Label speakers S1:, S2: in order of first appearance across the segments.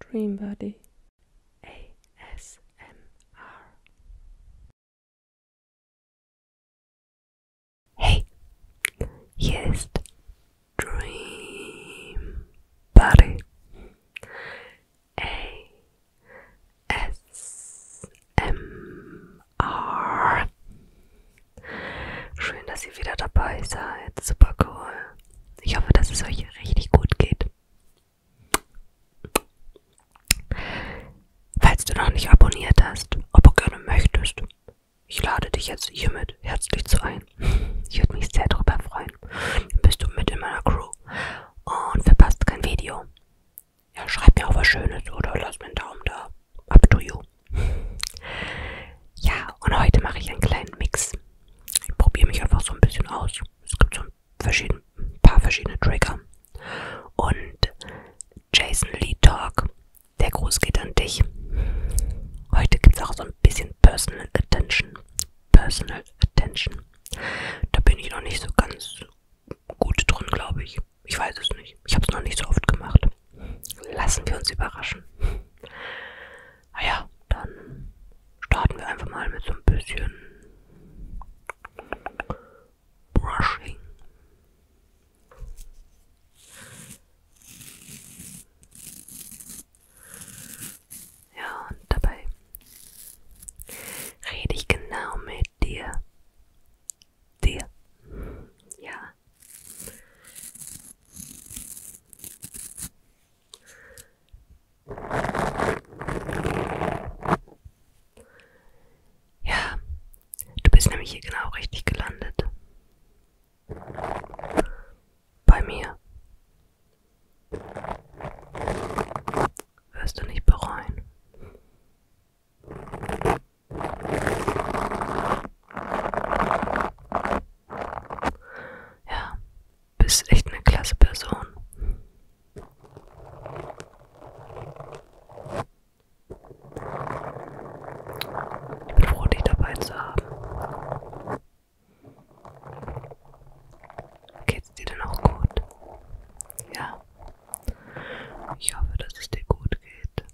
S1: Dreambody ASMR. Hey, hier ist Dreambody ASMR. Schön, dass ihr wieder dabei seid. Super cool. Ich hoffe, dass es euch richtig gut geht. Falls du noch nicht abonniert hast, aber gerne möchtest, ich lade dich jetzt hiermit herzlich zu ein. Ich würde mich sehr darüber freuen. Dann bist du mit in meiner Crew und verpasst kein Video. Ja, schreib mir auch was Schönes oder lass mir einen Daumen da. Up to you. Ja, und heute mache ich einen kleinen Mix ich probiere mich einfach so ein bisschen aus. Es gibt so ein verschieden, paar verschiedene Trigger. Und Jason Lee Talk, der Gruß geht an dich. Heute gibt es auch so ein bisschen Personal Attention. Personal Attention. Da bin ich noch nicht so ganz gut drin, glaube ich. Ich weiß es nicht. Ich habe es noch nicht so oft gemacht. Lassen wir uns überraschen. Naja, dann starten wir einfach mal mit so ein bisschen Brushing. Ja, und dabei rede ich genau mit dir. Dir. Ja. Ja, du bist nämlich hier genau richtig gelandet. Bei mir. Wirst du nicht bereuen. Ja, bist echt eine klasse Person. Ich bin froh, dich dabei zu haben. Geht's dir denn auch gut? Ja. Ich hoffe, dass es dir gut geht.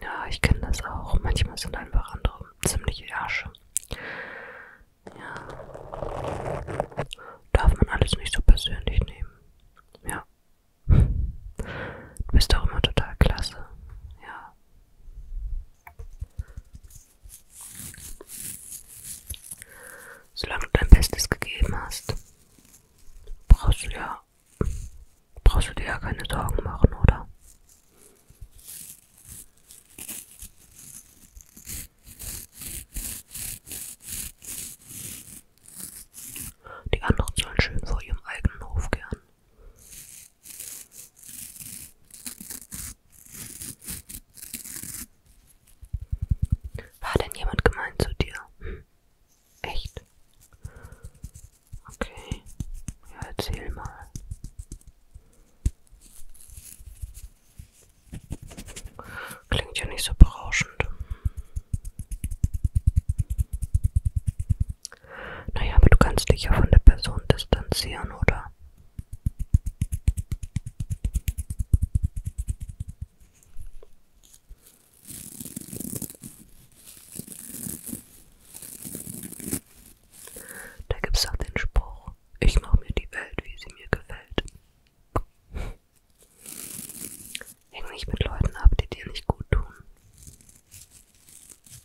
S1: Ja, ich kenne das auch. Manchmal sind einfach andere ziemlich Ärsche. Ja. Darf man alles nicht so persönlich nehmen. Ja. Du bist doch immer total klasse. Ja. Solange du dein Bestes gegeben hast, brauchst du ja, brauchst du dir ja keine Sorgen machen, oder? Die anderen sollen schön vor ihrem eigenen Hof kehren. War denn jemand gemein zu dir? Hm. Echt? Okay. Ja, erzähl mal. Klingt ja nicht so berauschend. Naja, aber du kannst dich ja von der Person distanzieren, oder? Da gibt's auch den Spruch, ich mache mir die Welt, wie sie mir gefällt. Häng nicht mit Leuten ab, die dir nicht gut tun.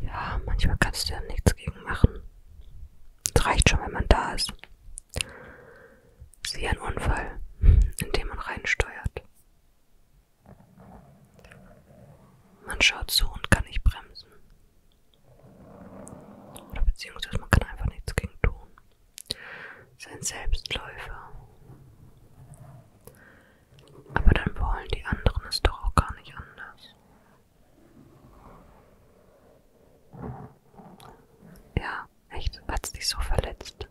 S1: Ja, manchmal kannst du ja nichts gegen machen. Es reicht schon, wenn man da ist. Es ist wie ein Unfall, in den man reinsteuert. Man schaut zu und kann nicht bremsen. Oder beziehungsweise man kann einfach nichts gegen tun. Es ist ein Selbstläufer. Aber dann wollen die anderen es doch auch gar nicht anders. Ja, echt, hat's dich so verletzt.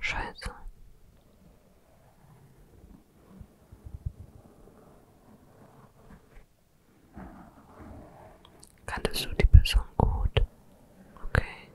S1: Scheiße. Kanntest du die Person gut? Okay.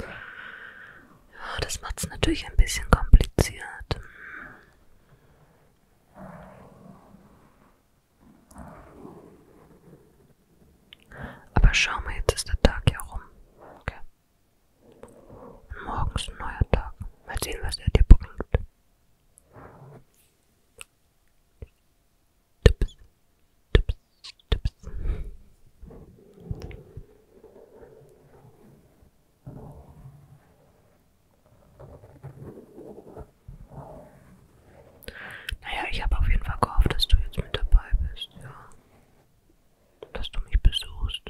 S1: Ja, das macht es natürlich ein bisschen kompliziert. Aber schau mal, jetzt ist der Tag ja rum. Okay. Und morgen ist ein neuer Tag. Mal sehen, was er dir bringt. Tups, tups, tups. Naja, ich habe auf jeden Fall gehofft, dass du jetzt mit dabei bist, ja. Dass du mich besuchst.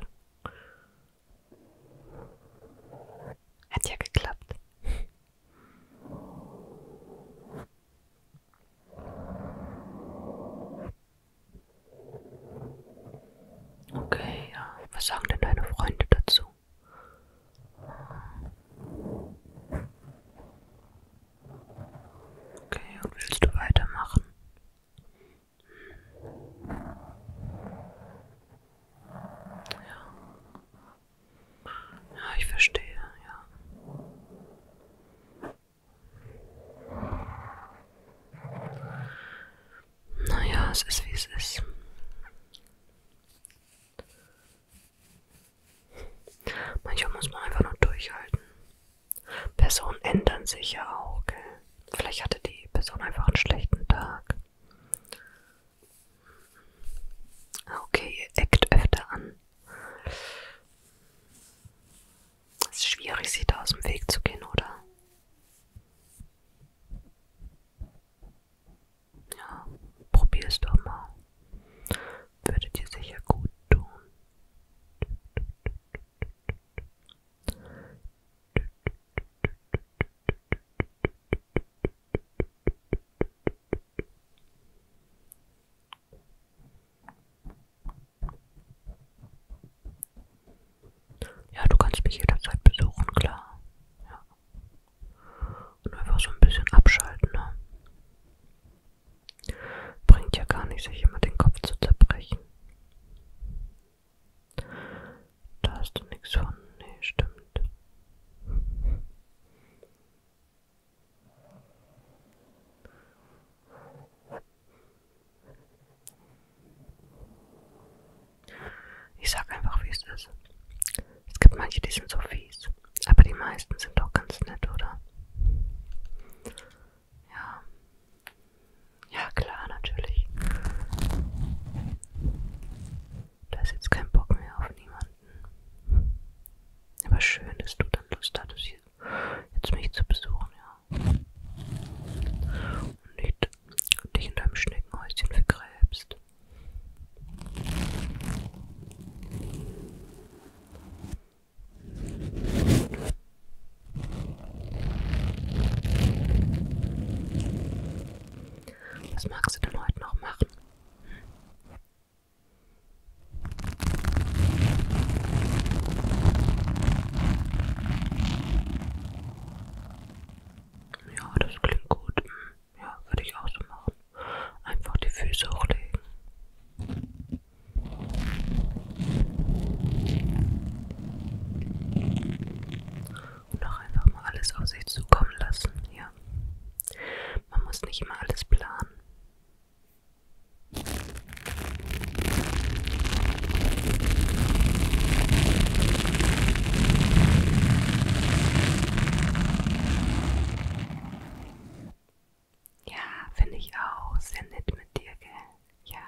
S1: Hat ja geklappt. Okay, ja. Was sagen denn deine Freunde dazu? Okay, und willst du weitermachen? Ja. Ja, ich verstehe, ja. Naja, es ist wie es ist. Manchmal muss man einfach nur durchhalten. Personen ändern sich ja auch, gell? Vielleicht hatte die Person einfach einen schlechten Tag. Ah, okay, ihr eckt öfter an. Es ist schwierig, sie da aus dem Weg zu gehen, oder? Ja, probier's doch mal. Würde dir sicher gut tun. Ja, du kannst mich jederzeit besuchen, klar. Ja. Und einfach so ein bisschen abschalten, ne? Bringt ja gar nicht, sich immer den Kopf zu zerbrechen. Da hast du nichts von. Nee, stimmt. Ich sag einfach, wie es ist. Es gibt manche, die sind so fies. Aber die meisten sind doch ganz nett, oder? Ja. Ja, klar, natürlich. Da ist jetzt kein Bock mehr auf niemanden. Aber schön, dass du dann Lust hattest, hier jetzt mich zu besuchen, ja. Und nicht dich in deinem Schneckenhäuschen vergräbst. Was magst du denn heute noch machen? Ja, das klingt gut. Ja, würde ich auch so machen. Einfach die Füße hochlegen. Und auch einfach mal alles auf sich zukommen lassen, ja. Man muss nicht immer alles planen. Ja, finde ich auch. Sehr nett mit dir, gell? Ja.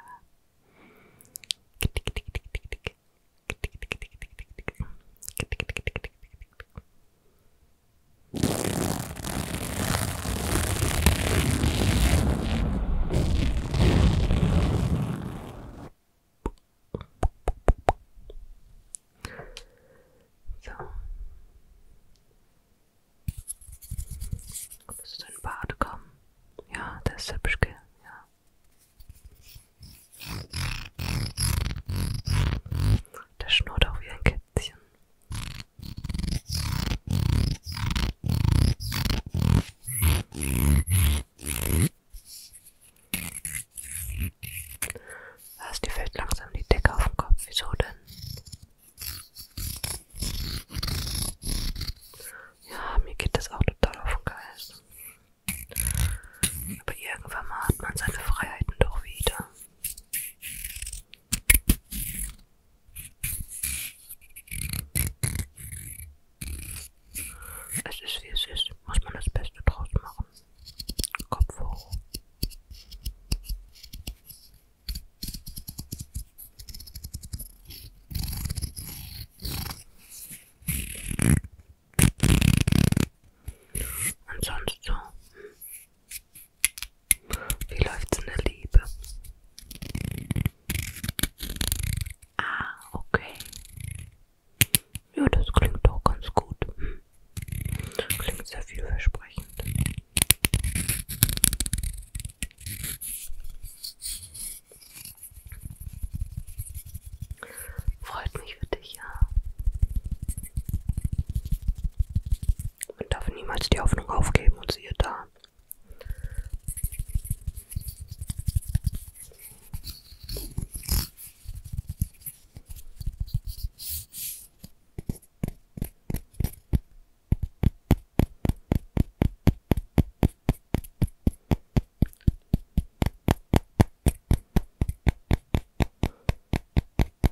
S1: So. Willst du in Bad kommen? Ja, der ist hübsch, gell? Ja. Der schnurrt auch wie ein Kind. Kätzchen. Was, die fällt langsam die Decke auf den Kopf. Wieso denn? Ja, mir geht das auch total auf den Geist. Aber irgendwann mal hat man seine Freiheiten doch wieder. Es ist wie es ist, muss man das Beste draus machen. Kopf hoch. Und sonst so. Wie läuft's in der Liebe? Ah, okay. Ja, das klingt doch ganz gut. Klingt sehr vielversprechend. Freut mich für dich, ja. Man darf niemals die Hoffnung aufgeben und siehe da.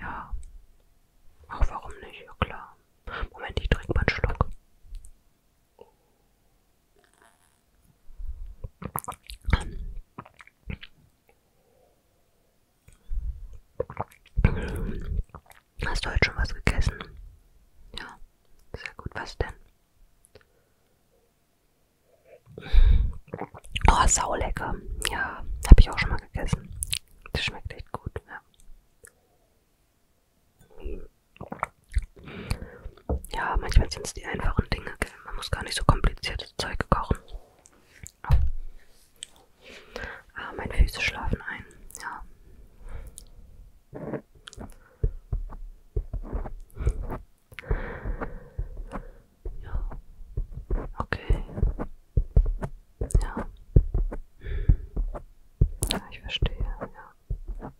S1: Ja. Auch warum nicht? Ja klar. Moment, ich trinke mal einen Schluck. Hast du heute schon was gegessen? Ja, sehr gut. Was denn? Oh, saulecker. Ja, habe ich auch schon mal gegessen. Das schmeckt echt gut, ja. Ja, manchmal sind es die einfachen Dinge, gell? Man muss gar nicht so kompliziertes Zeug kochen. Oh. Ah, meine Füße schlafen ein. Ja. Ja. Okay. Ja. Ja, ich verstehe. Ja.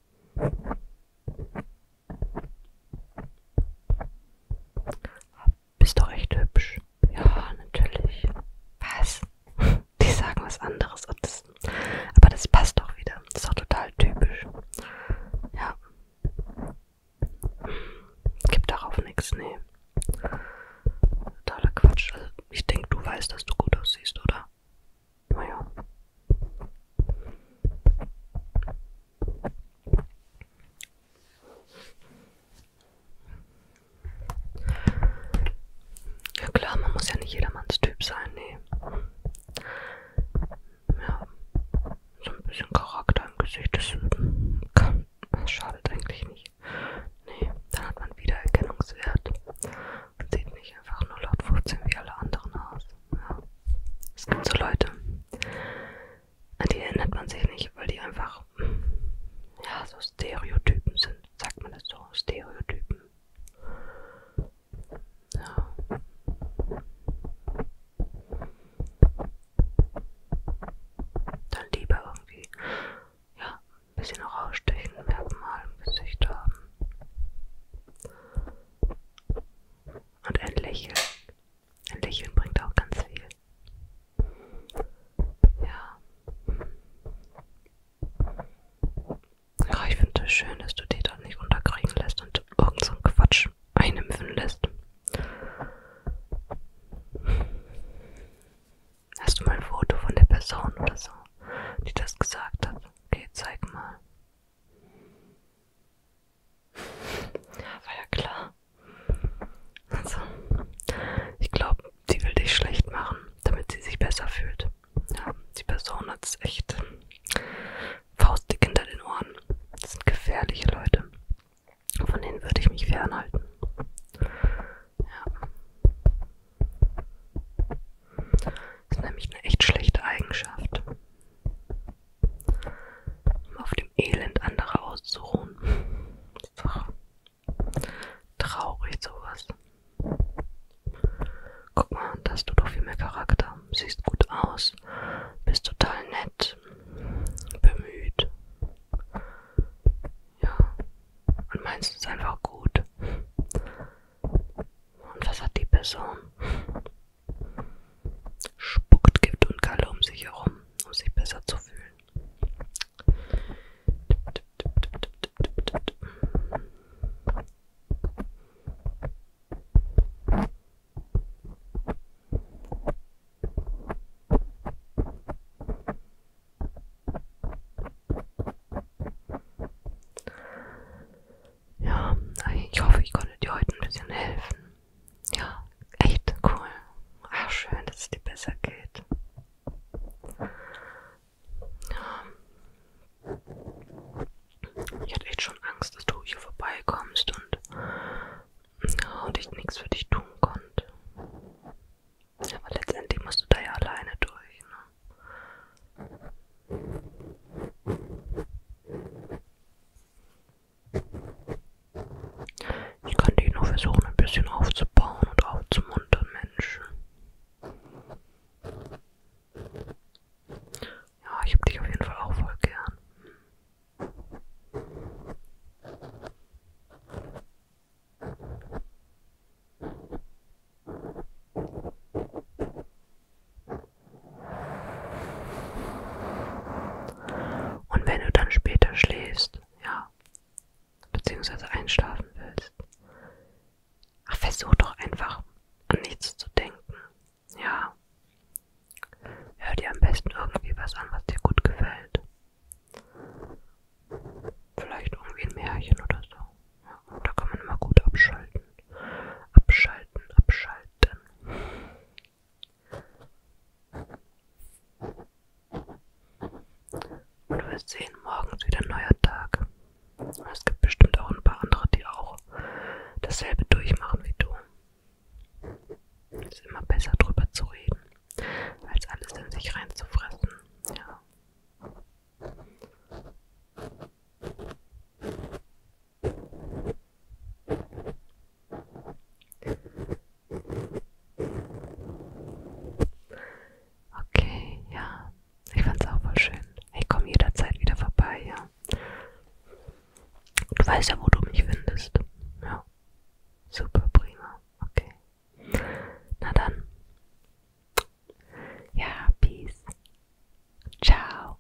S1: Habt bist du echt hübsch? Ja, natürlich. Was? Die sagen was anderes. Das, aber das passt doch wieder. Das ist doch total typisch. Ja. Gibt darauf nichts, nee. Totaler Quatsch. Also ich denke, du weißt, dass du gut aussiehst, oder? Naja. Ja klar, man muss ja nicht jedermanns Typ sein, nee. Ja, so ein bisschen Charakter im Gesicht, das kann, das schadet eigentlich nicht. Nee, dann hat man Wiedererkennungswert und sieht nicht einfach nur laut 15 wie alle anderen aus. Ja. Es gibt so Leute, an die erinnert man sich nicht, weil die einfach ja, so Stereotypen sind. Sagt man das so? Stereotypen. Ja. Dann lieber irgendwie ja, ein bisschen rausstechen, Merkmal im Gesicht haben. Und ein Lächeln. Ein Lächeln bringt auch ganz viel. Ja. Oh, ich finde es schön, dass du dich da nicht unterkriegen lässt und irgend so einen Quatsch einimpfen lässt. Hast du mal ein Foto von der Person oder so, die das gesagt hat? Okay, zeig mal. War ja klar. Also, ich glaube, sie will dich schlecht machen, damit sie sich besser fühlt. Ja, die Person hat's echt faustdick hinter den Ohren. Das sind gefährliche Leute. Von denen würde ich mich fernhalten. Ja. Das ist nämlich eine echt schlechte Eigenschaft um auf dem Elend anderer auszuruhen. Ach, traurig sowas. Guck mal, da hast du doch viel mehr Charakter. Siehst gut aus, bist total nett, bemüht. Ja, und meinst es einfach gut. Und was hat die Person? spuckt Gift und Galle um sich herum, um sich besser zu fühlen. Ja, ich hoffe, ich konnte dir heute ein bisschen helfen ja, echt cool. Ach, schön, dass es dir besser geht. Ja. Ich hatte echt schon Angst, dass du hier vorbeikommst und, ja, und ich nichts für dich tun konnte. Aber letztendlich musst du da ja alleine durch. Ne? Ich konnte ihn nur versuchen, ein bisschen aufzubauen und aufzumuntern, Mensch. Ja, ich hab dich auf jeden Fall auch voll gern. Und wenn du dann später schläfst, ja, beziehungsweise einschlafen willst, ach, versuch doch einfach an nichts zu denken, ja. Hör dir am besten irgendwie was an, was dir gut gefällt. Vielleicht irgendwie ein Märchen oder so. Ja, da kann man immer gut abschalten. Abschalten, abschalten. Und du wirst sehen, morgens wieder ein neuer Tag. Und es gibt bestimmt auch ein paar andere, die auch dasselbe durchmachen wie du. Es ist immer besser drüber zu reden, als alles in sich reinzufressen. Ja. Okay, ja. Ich fand's auch voll schön. Ich komme jederzeit wieder vorbei, ja. Du weißt ja, wo du mich findest. Ja. Super, prima. Okay. Na dann. Ja, peace. Ciao.